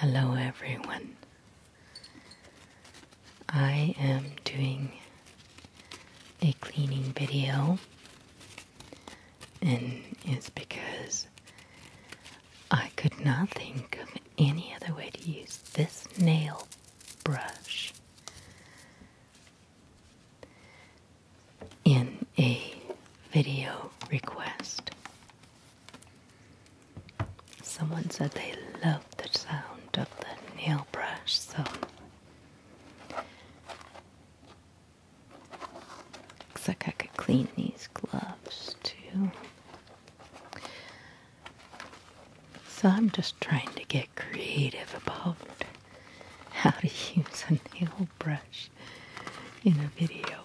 Hello, everyone. I am doing a cleaning video, and it's because I could not think of any other way to use this nail brush in a video request. Someone said they loved the sound of the nail brush, so looks like I could clean these gloves too. So I'm just trying to get creative about how to use a nail brush in a video.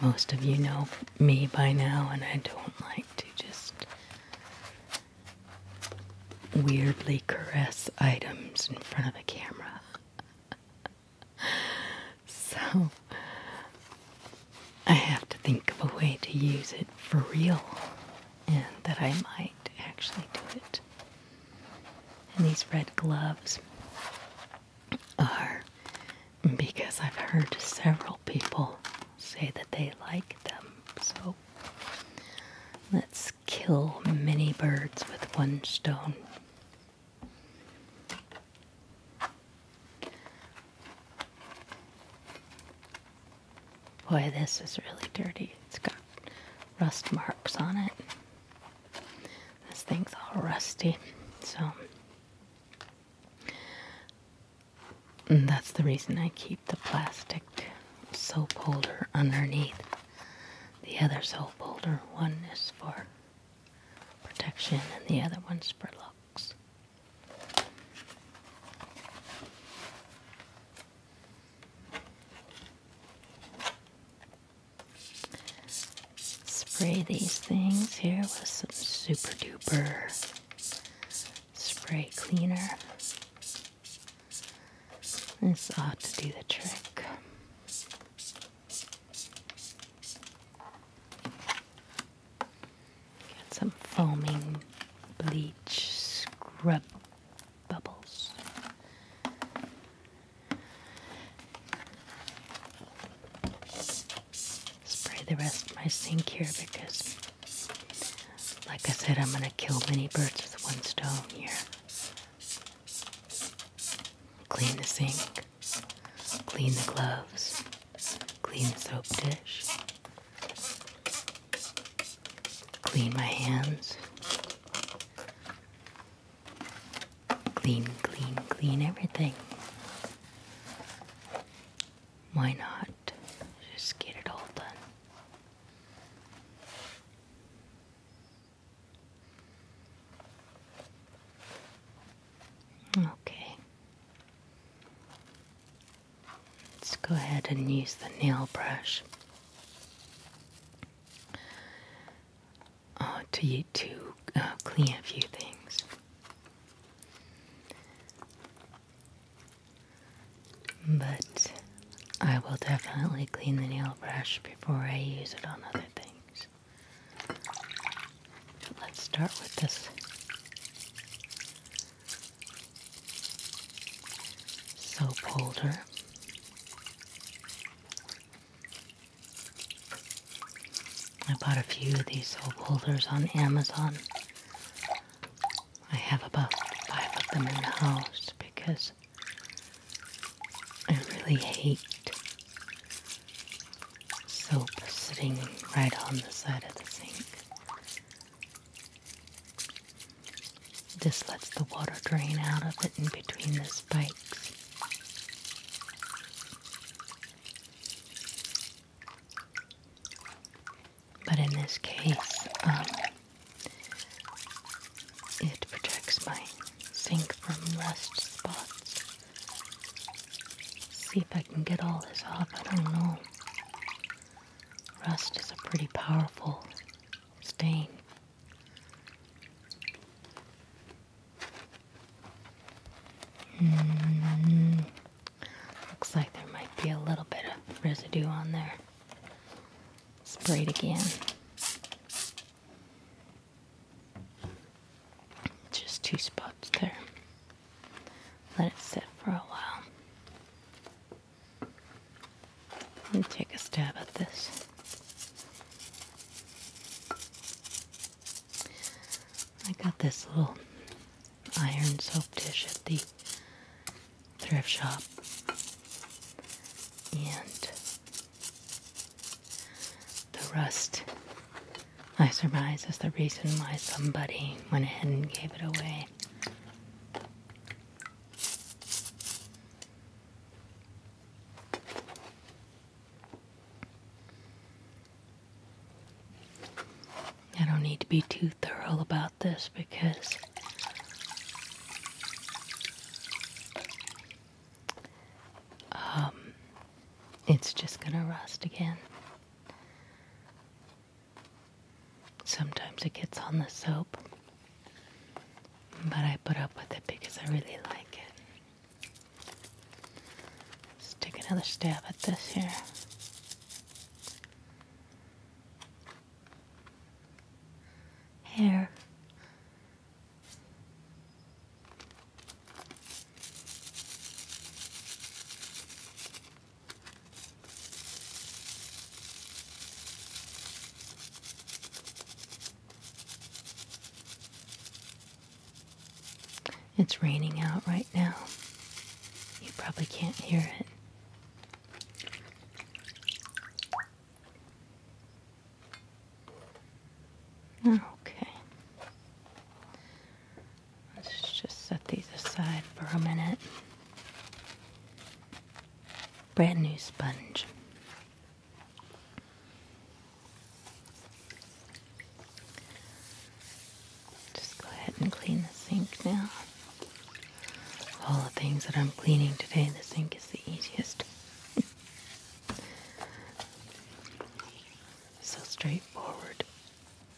Most of you know me by now, and I don't like to just weirdly caress items in front of the camera. so, I have to think of a way to use it for real and that I might actually do it. And these red gloves are because I've heard several people say that they like them. So let's kill many birds with one stone. Boy, this is really dirty. It's got rust marks on it. This thing's all rusty. So, that's the reason I keep the plastic soap holder underneath the other soap holder. One is for protection, and the other one's for looks. Spray these things here with some super duper spray cleaner. This ought to do the trick. Got some foaming bleach scrub bubbles. Spray the rest of my sink here because, like I said, I'm going to kill many birds with one stone here. Clean the sink, clean the gloves. Clean soap dish. Clean my hands. Clean, clean, clean everything. Why not just get it all done? Okay. Let's go ahead and use the nail brush uh, to, to uh, clean a few things. But I will definitely clean the nail brush before I use it on other things. Let's start with this soap holder. I bought a few of these soap holders on Amazon. I have about five of them in the house because I really hate soap sitting right on the side of the sink. This lets the water drain out of it in between the spikes. But in this case, um, it protects my sink from rust spots. See if I can get all this off. I don't know. Rust is a pretty powerful stain. looks like there might be a little bit of residue on there. Spray it again. Just two spots there. Let it sit for a while. Let me take a stab at this. I got this little iron soap dish at the thrift shop. And the rust I surmise is the reason why somebody went ahead and gave it away. I don't need to be too thorough about this because um, it's just going to rust again. Sometimes it gets on the soap, but I put up with it because I really like it. Let's take another stab at this here. Hair. It's raining out right now. You probably can't hear it. Okay. Let's just set these aside for a minute. Brand new sponge. Just go ahead and clean the sink now. All the things that I'm cleaning today, the sink is the easiest. so straightforward.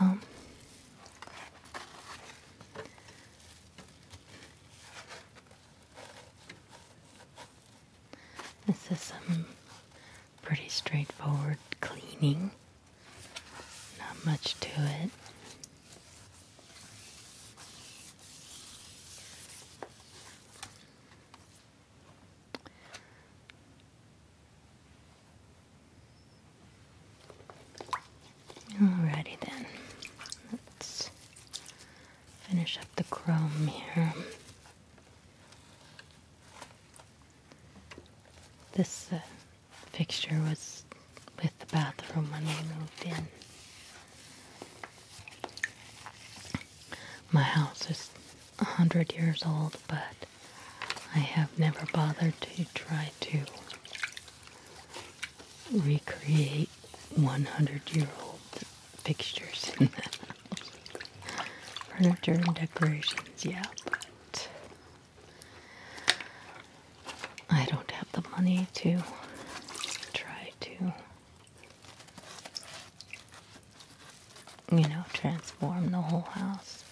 Well, this is some pretty straightforward cleaning, not much to it. Alrighty then, let's finish up the chrome here. This uh, fixture was with the bathroom when we moved in. My house is a hundred years old, but I have never bothered to try to recreate 100 year old pictures, in the Furniture and decorations, yeah, but I don't have the money to try to. You know, transform the whole house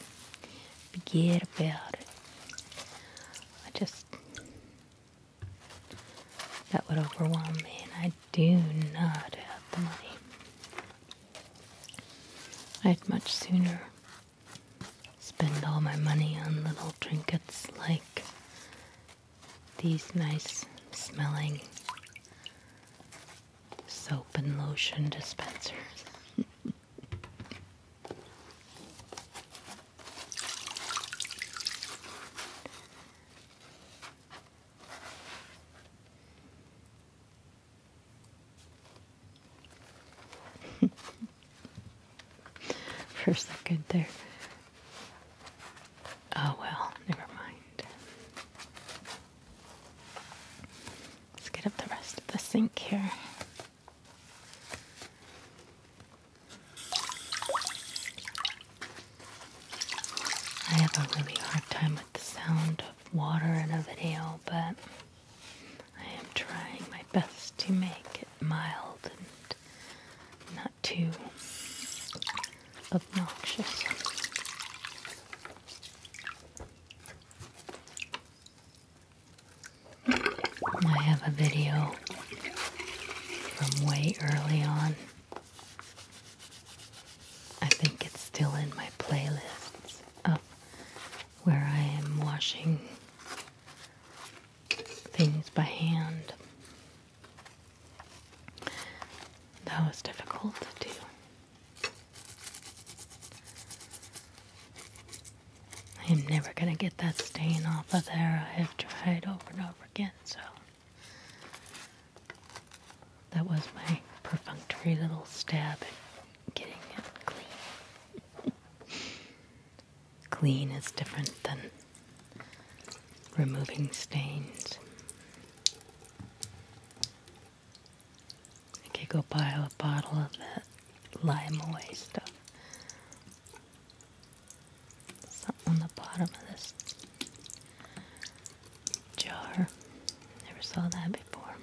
forget about it. I just, that would overwhelm me, and I do not have the money. I'd much sooner spend all my money on little trinkets like these nice smelling soap and lotion dispensers. For a second there. Oh well, never mind. Let's get up the rest of the sink here. I have a really hard time with the sound of water in a video, but I am trying my best to make it mild and not too obnoxious. I have a video from way early on. I think it's still in my playlists of where I am washing things by hand. That was difficult to do. I am never going to get that stain off of there. I have tried over and over again, so. That was my perfunctory little stab at getting it clean. clean is different than removing stains. I could go buy a bottle of that lime away stuff. Something on the bottom of this jar. Never saw that before.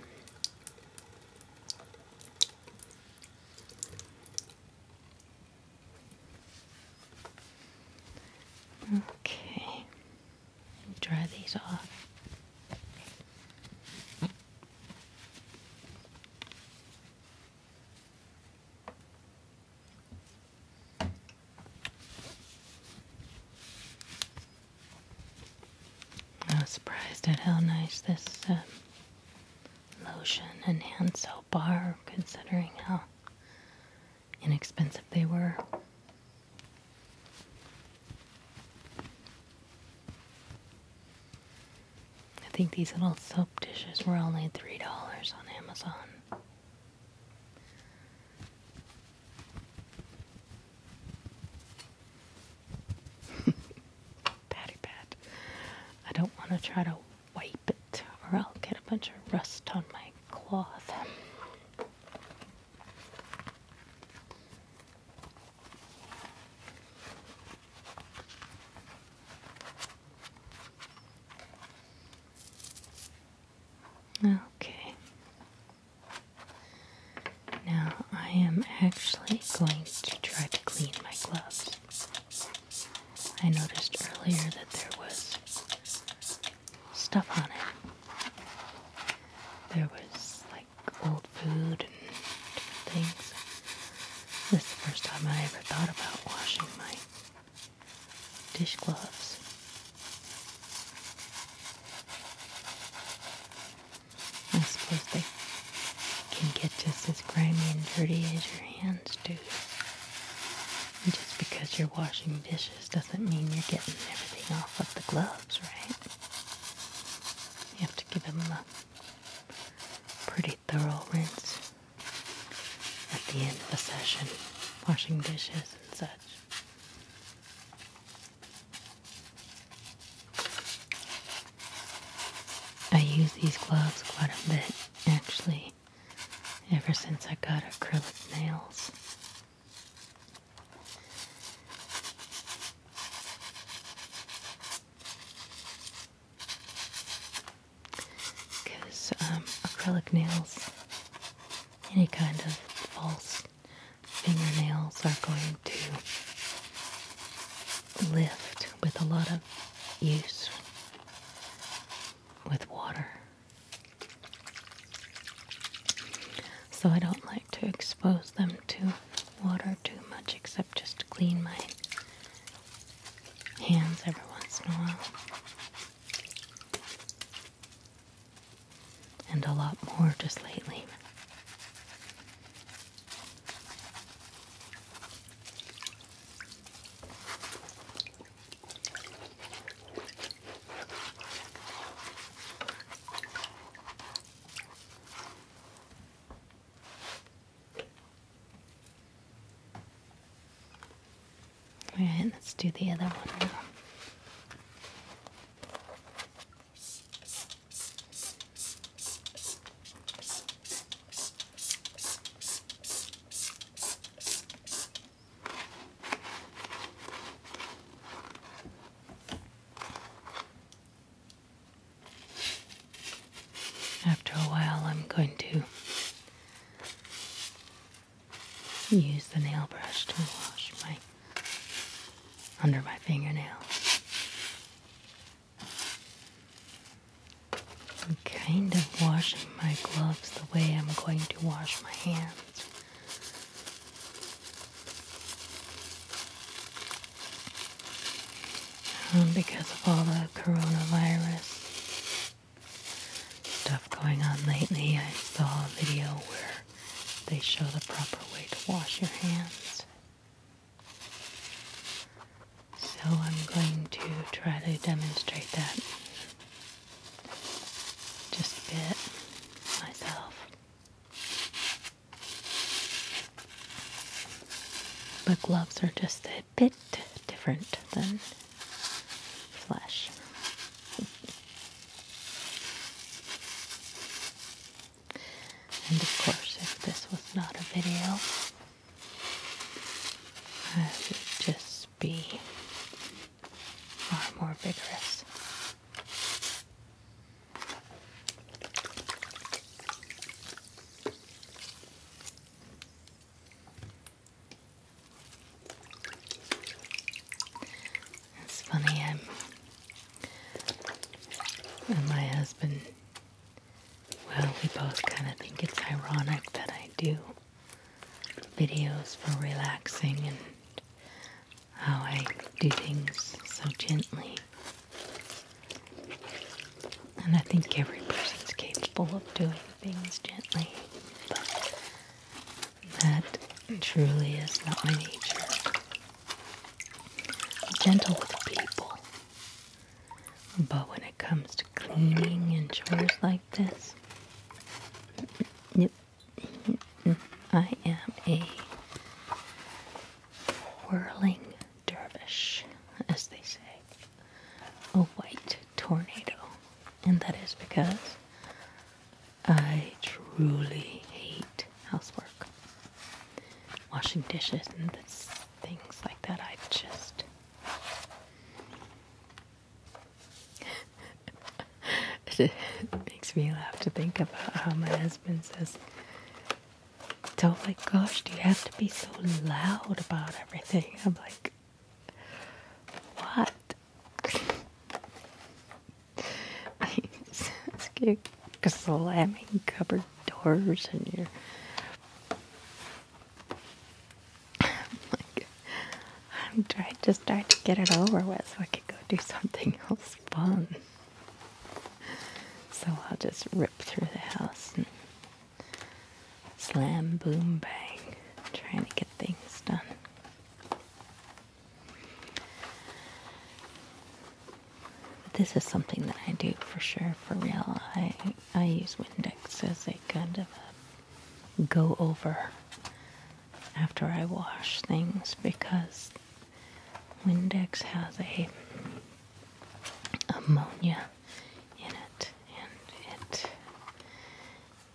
Okay. Dry these off. I was surprised at how nice this um, lotion and hand soap are, considering how inexpensive they were. I think these little soap dishes were only $3 on Amazon. Patty pat. I don't want to try to wipe it or I'll get a bunch of rust on my cloth. Okay. Now I am actually going to try to clean my gloves. I noticed earlier that there was stuff on it. There was like like old food and different things. This is the first time I ever thought about washing my dishcloths. I suppose they can get just as grimy and dirty as your hands do. just because you're washing dishes doesn't mean you're getting everything off of the gloves, right? You have to give them a pretty thorough rinse at the end of a session, washing dishes and such. I use these gloves quite a bit, actually, ever since I got acrylic nails. Because um, acrylic nails, any kind of false fingernails, are going to lift with a lot of use with water. So I don't like to expose them to water too much except just to clean my hands every once in a while. And a lot more just lately. All right, let's do the other one now. After a while, I'm going to use the nail brush to wash my under my fingernail. I'm kind of washing my gloves the way I'm going to wash my hands. Um, because of all the coronavirus stuff going on lately, I saw a video where they show the proper way to wash your hands. So I'm going to try to demonstrate that just a bit myself. But gloves are just a bit different than flesh. and of course, if this was not a video, I would just be far more vigorous. It's funny, i and my husband. Well, we both kind of think it's ironic that I do videos for relaxing and how I do things so gently. And I think every person's capable of doing things gently, but that truly is not my nature. gentle with people, but when it comes to cleaning and chores like this, yep, I am a whirling dervish, as they say, a white tornado, and that is because I truly hate housework. Washing dishes and things like that, I just it makes me laugh to think about how my husband says, "Oh my gosh, do you have to be so loud about everything?" I'm like, "What?" you slamming cupboard doors and you're like I'm trying, just trying to get it over with so I could go do something else fun. So I'll just rip through the house and slam, boom, bang, trying to get things done. this is something that I do for sure, for real. I I use Windex as a kind of a go over after I wash things because Windex has a ammonia in it and it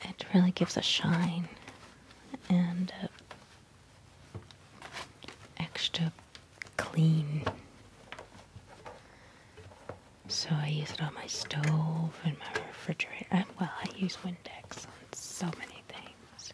it really gives a shine and extra clean so I use it on my stove and my refrigerator well I use Windex so many things.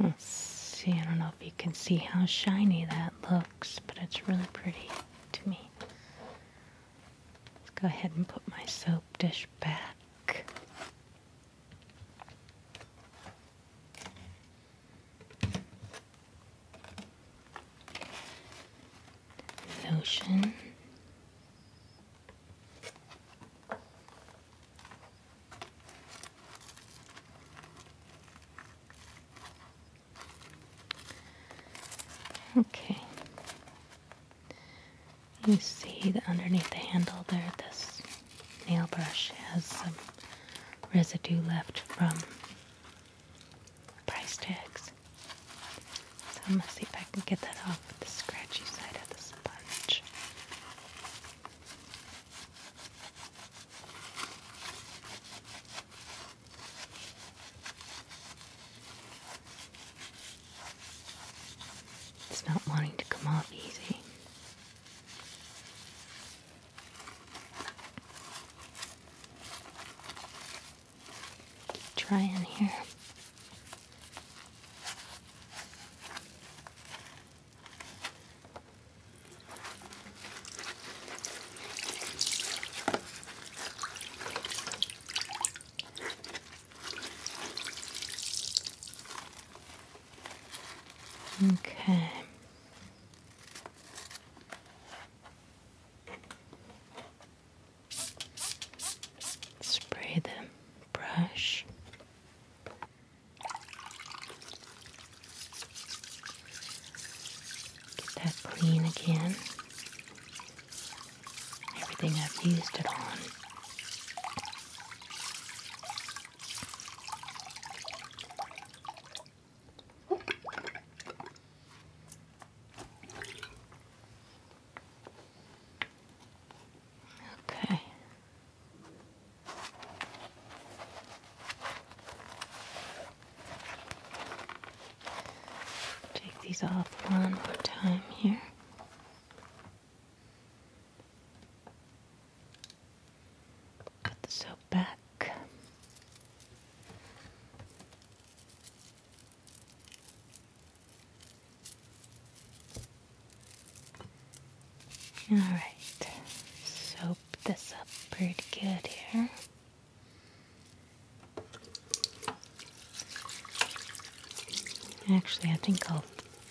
Let's see, I don't know if you can see how shiny that looks but it's really pretty to me. Let's go ahead and put my soap dish back. The Okay. You see that underneath the handle there, this nail brush has some residue left from price tags. So I'm going to see if I can get that off with the scratchy side of the sponge. It's not wanting to come off easy. Try in here. Okay. Spray the brush Get that clean again. Everything I've used it on. Okay. Take these off one more time here. Put the soap back. All right, soap this up pretty good here. Actually, I think I'll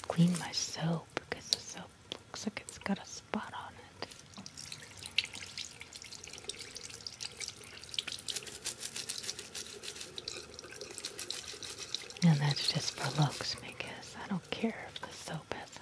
clean my soap because the soap looks like it's got a spot on it. And that's just for looks because I don't care if the soap is.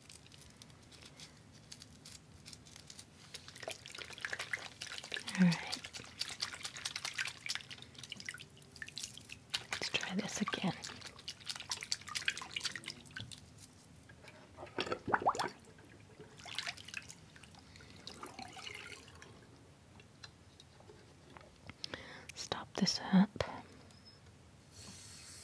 All right. Let's try this again. Stop this up.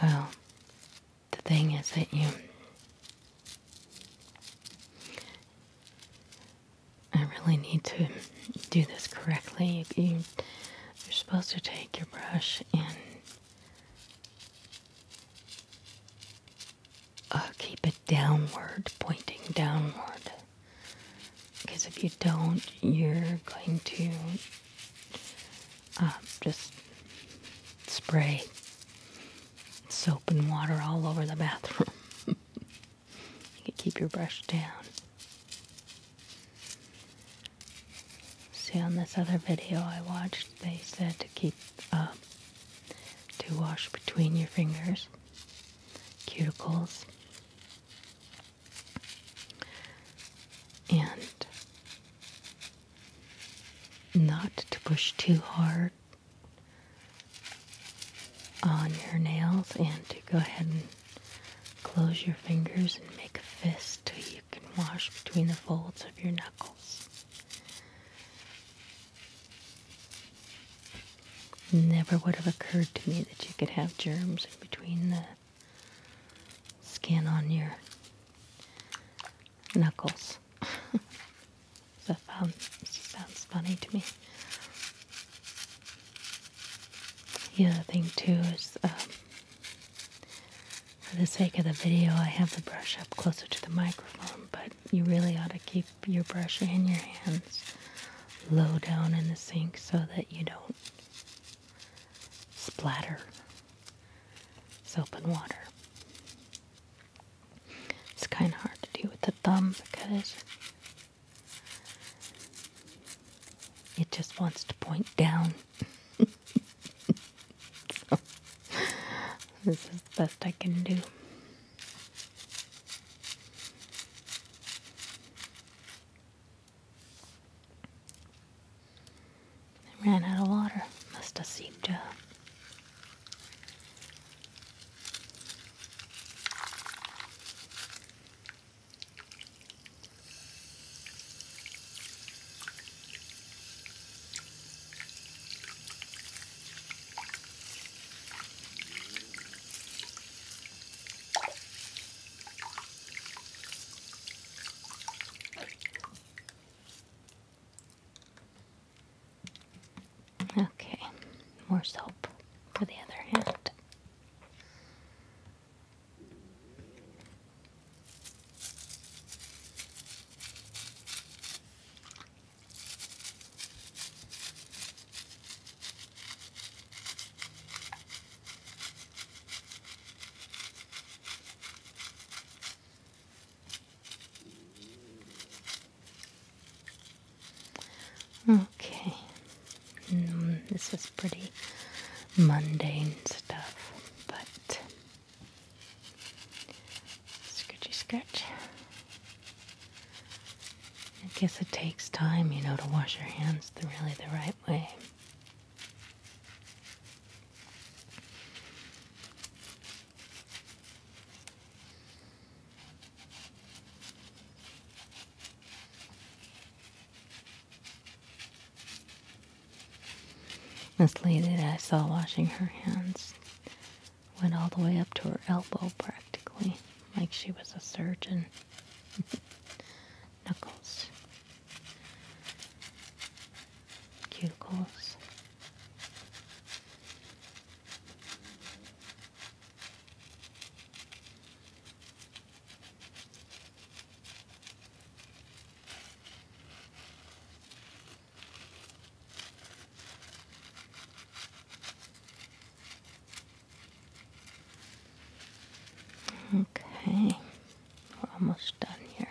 Well, the thing is that you. I really need to do this correctly. You, are supposed to take your brush and uh, keep it downward, pointing downward. Because if you don't, you're going to uh, just spray soap and water all over the bathroom. you can keep your brush down. See, on this other video I watched, they said to keep uh, to wash between your fingers, cuticles, and not to push too hard on your nails and to go ahead and close your fingers and make a fist so you can wash between the folds of your knuckles. Never would have occurred to me that you could have germs in between the skin on your knuckles. that found, sounds funny to me. The other thing too is, um, for the sake of the video, I have the brush up closer to the microphone, but you really ought to keep your brush in your hands low down in the sink so that you don't splatter soap and water. It's kind of hard to do with the thumb because it just wants to point down. this is the best I can do. I ran out of water. Must have seeped out. Okay, more soap for the other hand. Okay, mm, this is pretty mundane stuff, but Scratchy scratch. I guess it takes time, you know, to wash your hands the really the right way. This lady I saw washing her hands went all the way up to her elbow practically, like she was a surgeon. Knuckles, cuticles. Okay, we're almost done here.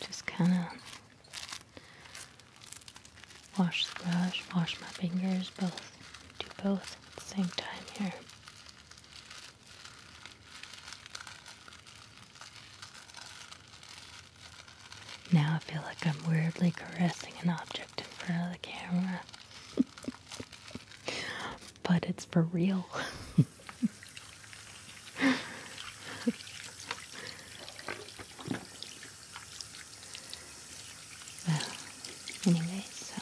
Just kind of Wash the brush, wash my fingers, both. Do both at the same time here. Now I feel like I'm weirdly caressing an object in front of the camera. but it's for real. Well, anyway, so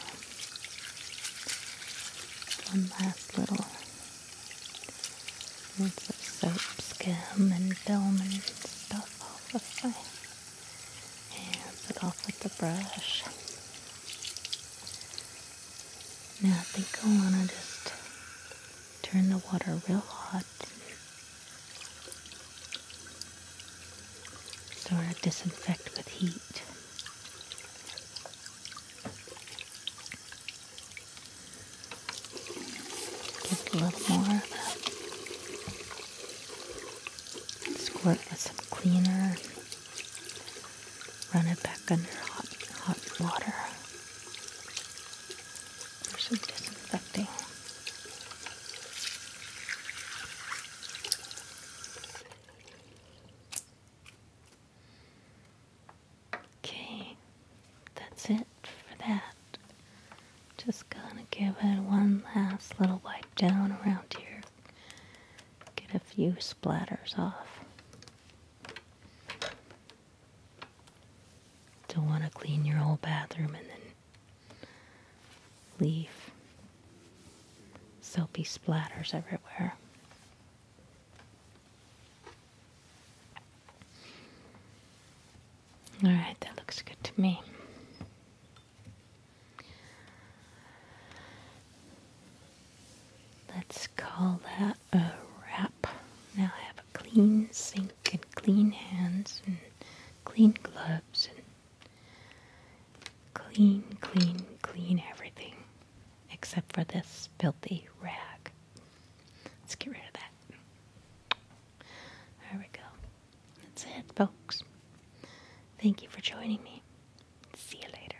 one last little rinse of soap, skim, and film and stuff all of my and and off with the brush. Now I think I want to just turn the water real hot sort of disinfect with heat. Just a little more of a squirt with some cleaner. Run it back under hot, hot water for some disinfecting. Okay, that's it for that. Just gonna give it one last little wipe down around here. Get a few splatters off. Don't want to clean your whole bathroom and then leaf. Soapy splatters everywhere. Alright, that looks good to me. Let's call that a wrap. Now I have a clean sink get clean hands and clean gloves and clean, clean, clean everything except for this filthy rag. Let's get rid of that. There we go. That's it, folks. Thank you for joining me. See you later.